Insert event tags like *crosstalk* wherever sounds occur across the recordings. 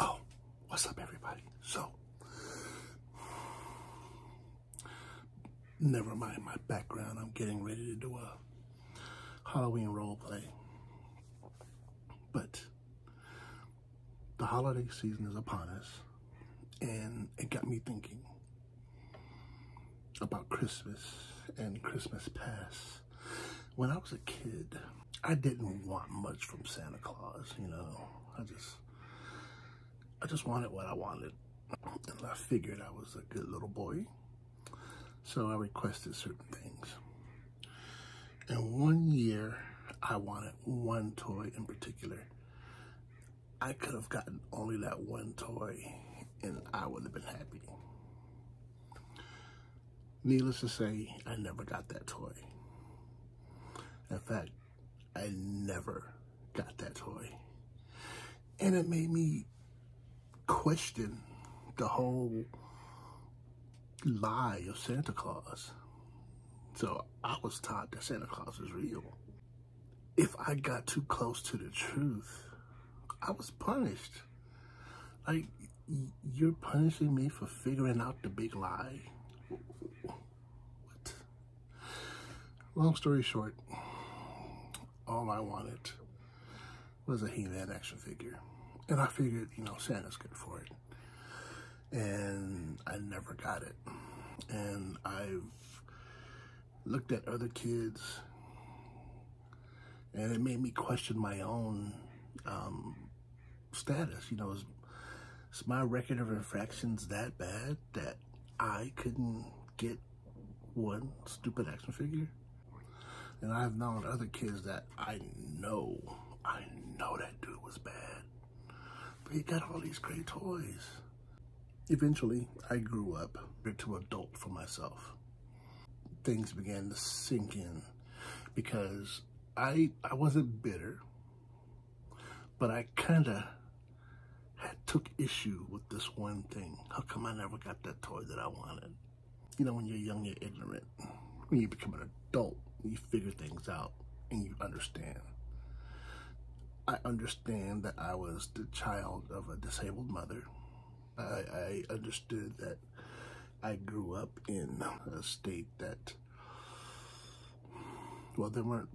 Oh, what's up, everybody? So, never mind my background. I'm getting ready to do a Halloween role play. But the holiday season is upon us, and it got me thinking about Christmas and Christmas past when I was a kid, I didn't want much from Santa Claus, you know. I just I just wanted what I wanted. And I figured I was a good little boy. So I requested certain things. And one year, I wanted one toy in particular. I could have gotten only that one toy and I would have been happy. Needless to say, I never got that toy. In fact, I never got that toy. And it made me question the whole lie of Santa Claus. So I was taught that Santa Claus was real. If I got too close to the truth, I was punished. Like, you're punishing me for figuring out the big lie. What? Long story short, all I wanted was a he action figure. And I figured, you know, Santa's good for it. And I never got it. And I've looked at other kids and it made me question my own um, status. You know, is, my record of infractions that bad that I couldn't get one stupid action figure? And I've known other kids that I know, I know that dude was bad. But he got all these great toys. Eventually, I grew up to adult for myself things began to sink in because I I wasn't bitter, but I kind of took issue with this one thing. How come I never got that toy that I wanted? You know, when you're young, you're ignorant. When you become an adult, you figure things out and you understand. I understand that I was the child of a disabled mother I, understood that I grew up in a state that, well, there weren't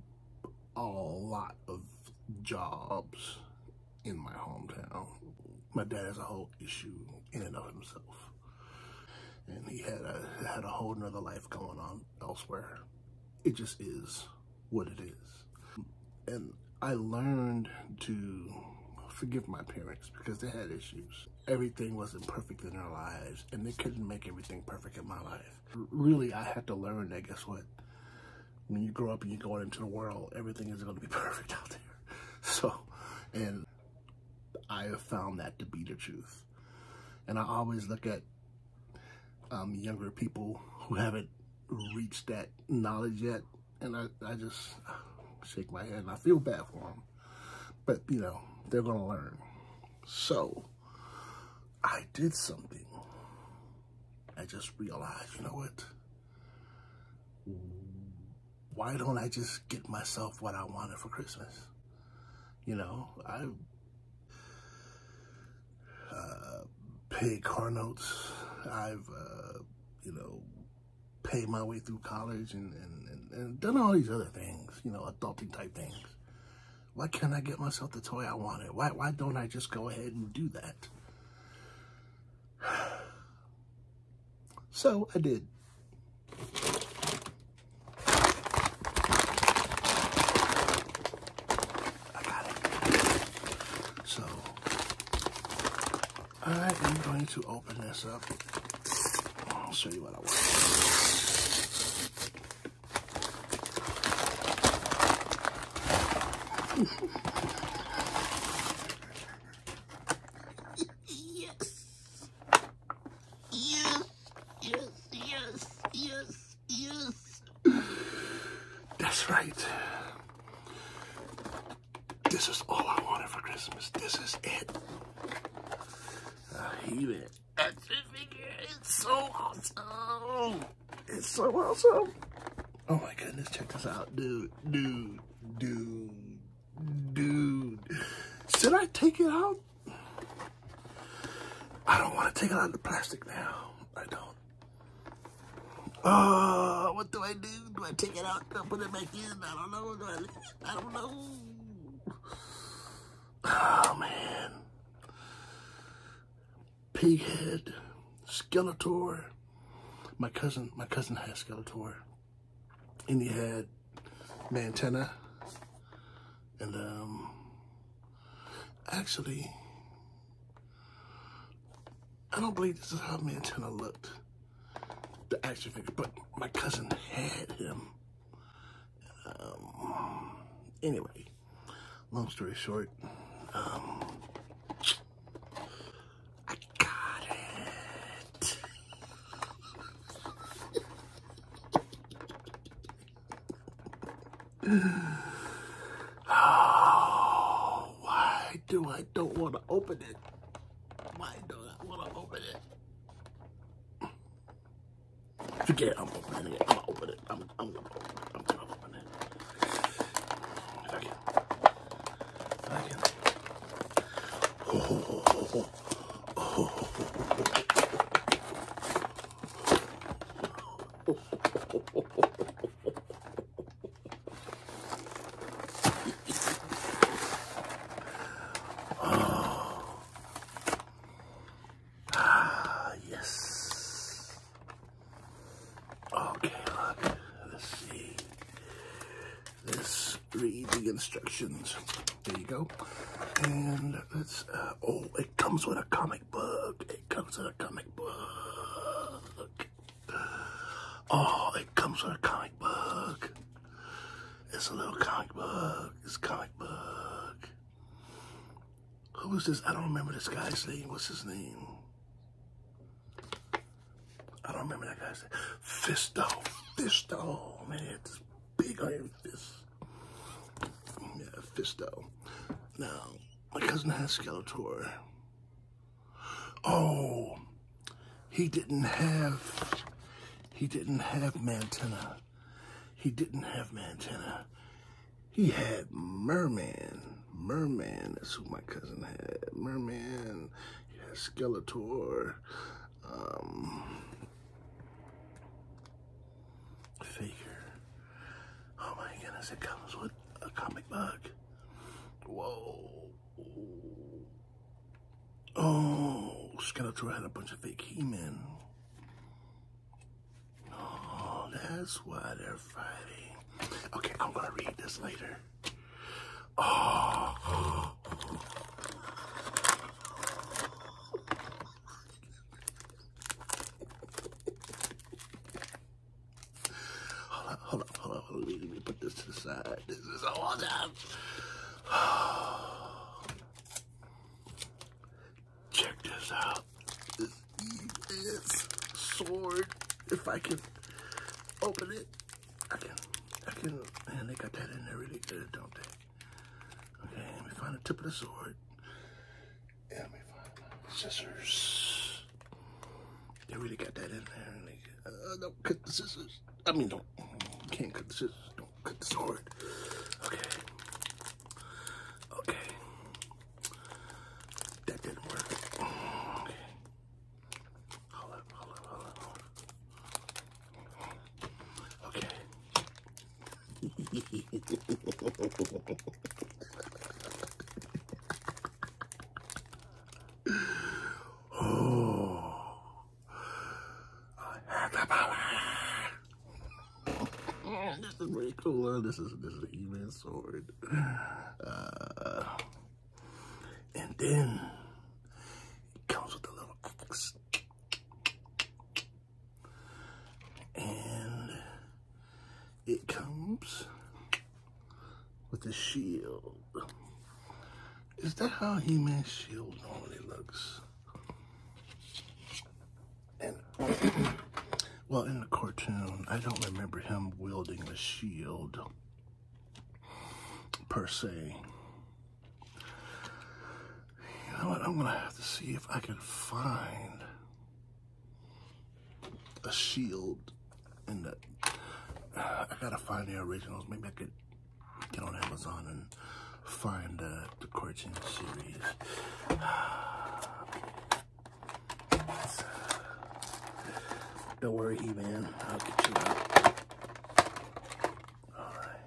a lot of jobs in my hometown. My dad has a whole issue in and of himself. And he had a had a whole nother life going on elsewhere. It just is what it is. And I learned to forgive my parents because they had issues. Everything wasn't perfect in their lives and they couldn't make everything perfect in my life. Really, I had to learn that guess what? When you grow up and you go out into the world, everything isn't gonna be *laughs* perfect out there. So, and I have found that to be the truth. And I always look at um, younger people who haven't reached that knowledge yet and I, I just shake my head and I feel bad for them. But, you know, they're going to learn. So, I did something. I just realized, you know what? Why don't I just get myself what I wanted for Christmas? You know, I uh, paid car notes. I've, uh, you know, paid my way through college and, and, and done all these other things, you know, adulting type things. Why can't I get myself the toy I wanted? Why, why don't I just go ahead and do that? *sighs* So I did. I got it. So, I am going to open this up. I'll show you what I want. yes. Yes. Yes. Yes. Yes. That's right. This is all I wanted for Christmas. This is it. I hate it. Action figure so awesome. It's so awesome. Oh my goodness, check this out. Dude, dude, dude, dude. Should I take it out? I don't want to take it out of the plastic now. I don't. Oh, what do I do? Do I take it out? Do put it back in? I don't know. I, don't know. Oh, man. Pighead. Skeletor. My cousin, my cousin had Skeletor. And he had Mantena. And, um, actually, I don't believe this is how Montana looked. The action figure, but my cousin had him. Um, anyway, long story short, um, I got it. *laughs* Oh, *sighs* why do I don't want to open it? Why don't I want to open it? Forget it, I'm opening it. I'm gonna open it. I'm, I'm gonna open it. I'm gonna open it. If I can. If I can. Oh, oh, oh, oh. Ah, yes. Okay, look. Let's see. This read the instructions. There you go. And let's, uh, oh, it comes with a comic book. It comes with a comic book. Oh, it comes with a comic book. It's a little comic book. It's a comic book. Who is this? I don't remember this guy's name. What's his name? I don't remember that guy's name. Fisto. Fisto. Man, it's big iron fist. Yeah, Fisto. Now, my cousin has Skeletor. Oh, he didn't have, he didn't have Mantenna. He didn't have Mantenna. He had Merman. Merman is who my cousin had. Merman, he had Skeletor. Um, figure. Oh my goodness, it comes with a comic book. Whoa. Oh, Skeletor had a bunch of fake he man Oh, that's why they're fighting. Okay, I'm gonna read this later. Oh hold on, hold on, hold on. Hold up. Let me put this to the side. This is a time. Check this out. This sword. If I can open it, I can. I can. Man, they got that in there really good, don't they? Okay, let me find the tip of the sword. Yeah, let me find my scissors. They really got that in there. And they, uh, don't cut the scissors. I mean, don't. Can't cut the scissors. Don't cut the sword. Okay. Okay. That didn't work. Okay. Hold up, hold up, hold up, hold up. Okay oh, *laughs* this is really cool. This is this is a human sword. Uh, and then it comes with a little and it comes with a shield. Is that how Human shield normally looks? And *clears throat* well, in the cartoon, I don't remember him wielding a shield per se. You know what? I'm gonna have to see if I can find a shield And I gotta find the originals. Maybe I could get on Amazon and find uh, the Corchin series. *sighs* Don't worry, he man I'll get you out. All right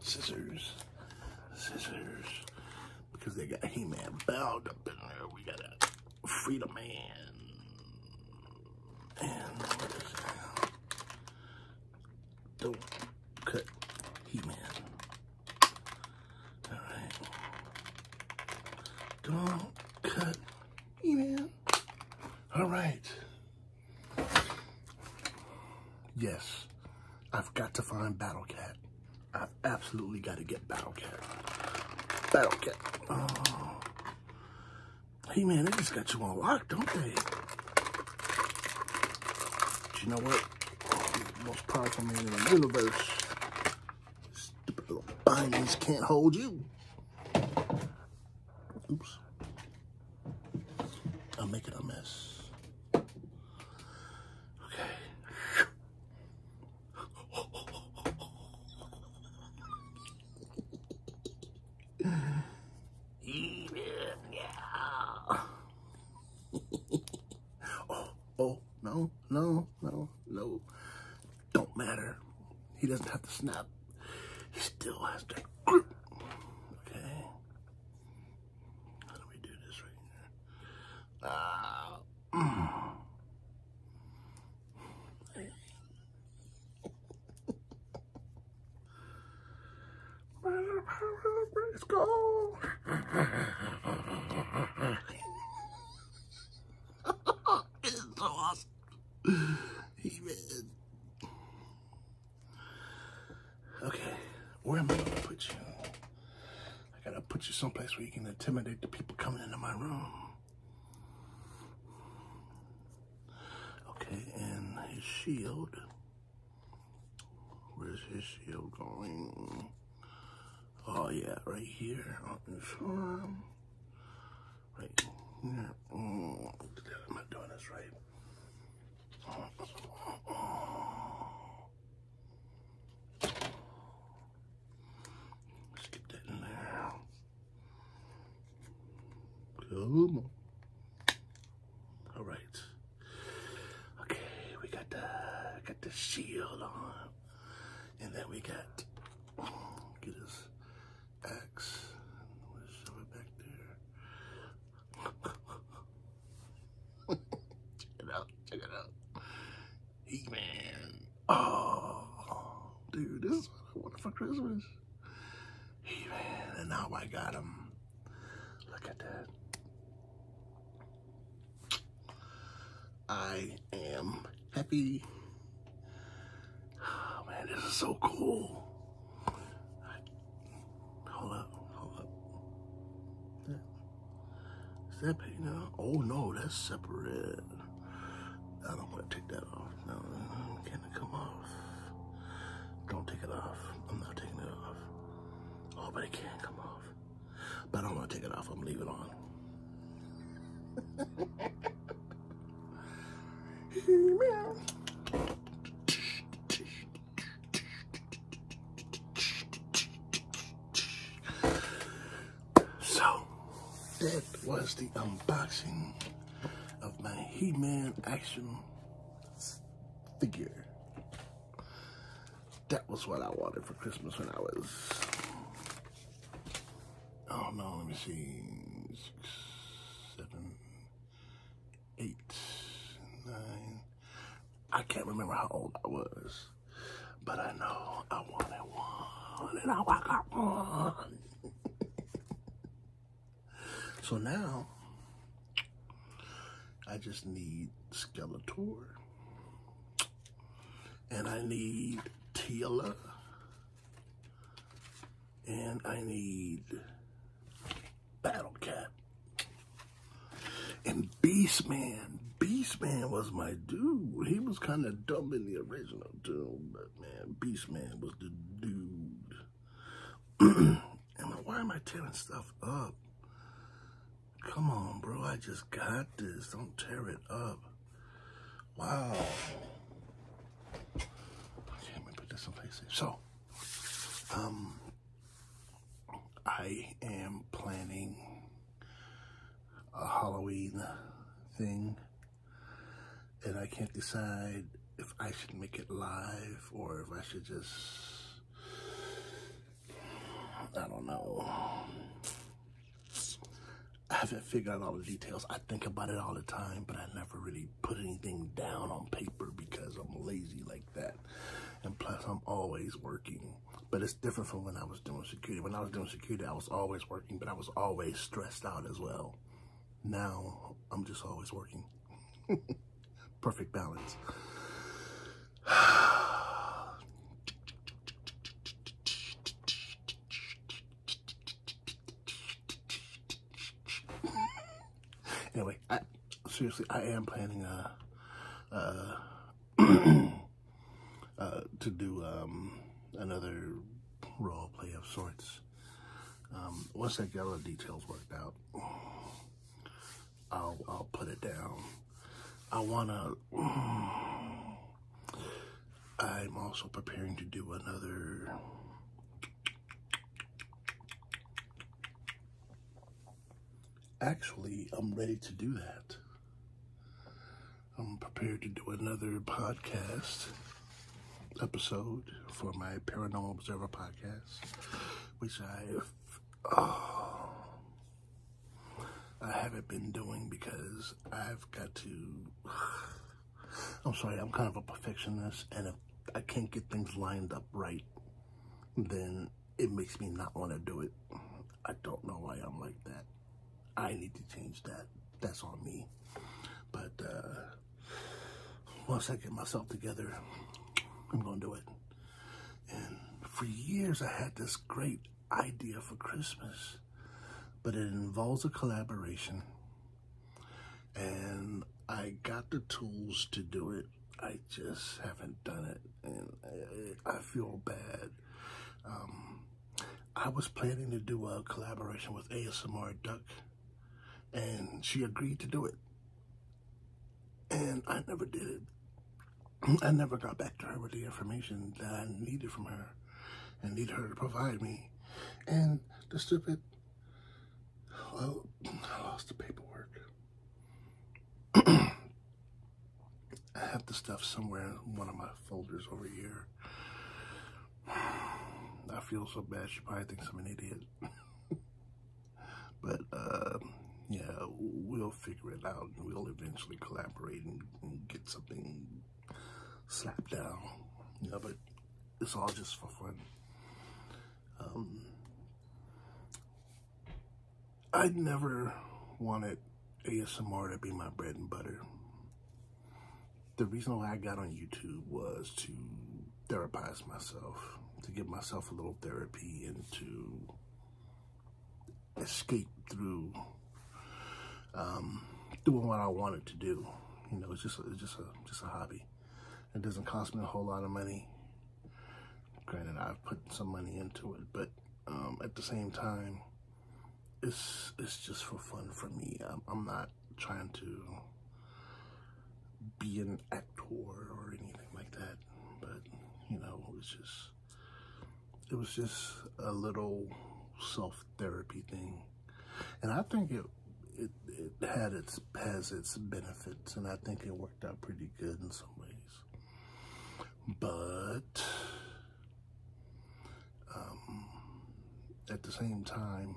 scissors, scissors, because they got He-Man bound up in there. We got a Freedom Man, and Don't cut He-Man. All right. Don't cut me, man. All right. Yes, I've got to find Battle Cat. I've absolutely got to get Battle Cat. Battle Cat. Oh. Hey, man, they just got you on lock, don't they? you know what? most powerful man in the universe. Stupid little bindings can't hold you. Oops. I'm making a mess. Okay. yeah. *laughs* Oh, oh, no, no, no, no. Don't matter. He doesn't have to snap. He still has to Okay. How do do this right here? Ah. Uh, *clears throat* It's gone. it's so awesome. Amen. Okay, where am I gonna put you? I gotta put you someplace where you can intimidate the people coming into my room. Okay, and his shield. Where's his shield going? Oh yeah, right here on his arm. Right here. I'm not doing this right. Let's get that in there. Come on. All right. Okay, we got the got the shield on, and then we got get his axe. it back there. *laughs* check it out! Check it out! He man. Oh, dude, this is what I wanted for Christmas. He man, and now I got him. Look at that. I am happy. Oh, man, this is so cool. hold up, hold up. Is that, is that paid now? Oh no, that's separate. I don't want to take that off. No, can it come off? Don't take it off. I'm not taking it off. Oh, but it can't come off. But i don't want to take it off. I'm leaving it on. so that was the unboxing of my He-Man action figure. That was what I wanted for Christmas when I was, oh no, let me see, six, seven, eight, nine. I can't remember how old I was, but I know I wanted one, and I got one. *laughs* So now, I just need Skeletor. And I need Tila. And I need Battle Cat. And Beastman. Beastman was my dude. He was kind of dumb in the original, too. But man, Beastman was the dude. *clears throat* why am I tearing stuff up? Come on, bro. I just got this. Don't tear it up. Wow. Okay, let me put this someplace safe. So, um, I am planning a Halloween thing, and I can't decide if I should make it live or if I should just I don't know. I haven't figured out all the details. I think about it all the time, but I never really put anything down on paper because I'm lazy like that. And plus, I'm always working. But it's different from when I was doing security. When I was doing security, I was always working, but I was always stressed out as well. Now I'm just always working. *laughs* Perfect balance. *sighs* anyway, seriously, I am planning uh, uh, a, *clears throat* uh, to do um, another role play of sorts. Um, once I get all the details worked out, I'll put it down. I want to, I'm also preparing to do another, actually, I'm ready to do that. I'm prepared to do another podcast episode for my Paranormal Observer podcast, which i uh, I haven't been doing because I've got to. I'm sorry, I'm kind of a perfectionist, and if I can't get things lined up right, then it makes me not want to do it. I don't know why I'm like that. I need to change that. That's on me. But uh, once I get myself together, I'm going to do it. And for years, I had this great idea for Christmas, but it involves a collaboration. And I got the tools to do it. I just haven't done it. And I, feel bad. Um, I was planning to do a collaboration with ASMR Duck and she agreed to do it. And I never did it. I never got back to her with the information that I needed from her and needed her to provide me. And the stupid, well, I lost the paperwork. *clears throat* I have the stuff somewhere in one of my folders over here. *sighs* I feel so bad. She probably thinks I'm an idiot. *laughs* but, uh, yeah, we'll figure it out. and We'll eventually collaborate and, get something slapped down. Yeah, but it's all just for fun. Um, I never wanted ASMR to be my bread and butter the reason why I got on YouTube was to therapize myself, to give myself a little therapy and to escape through um, doing what I wanted to do. You know, it's just a, just a just a hobby. It doesn't cost me a whole lot of money. Granted, I've put some money into it, but um, at the same time, it's it's just for fun for me. I'm not trying to be an actor or anything like that, but you know, it was just it was just a little self therapy thing, and I think it it had its has its benefits, and I think it worked out pretty good in some ways, but um, at the same time,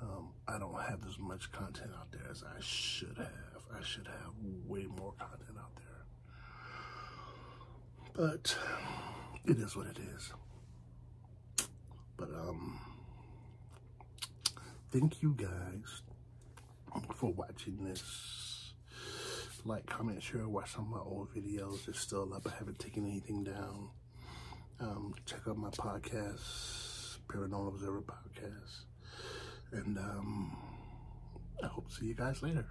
um, I don't have as much content out there as I should have. I should have way more content out there. But it is what it is. But um, thank you guys for watching this. Like, comment, share, watch some of my old videos. It's still up. I haven't taken anything down. Um, check out my podcast, Paranormal Observer Podcast. And um, I hope to see you guys later.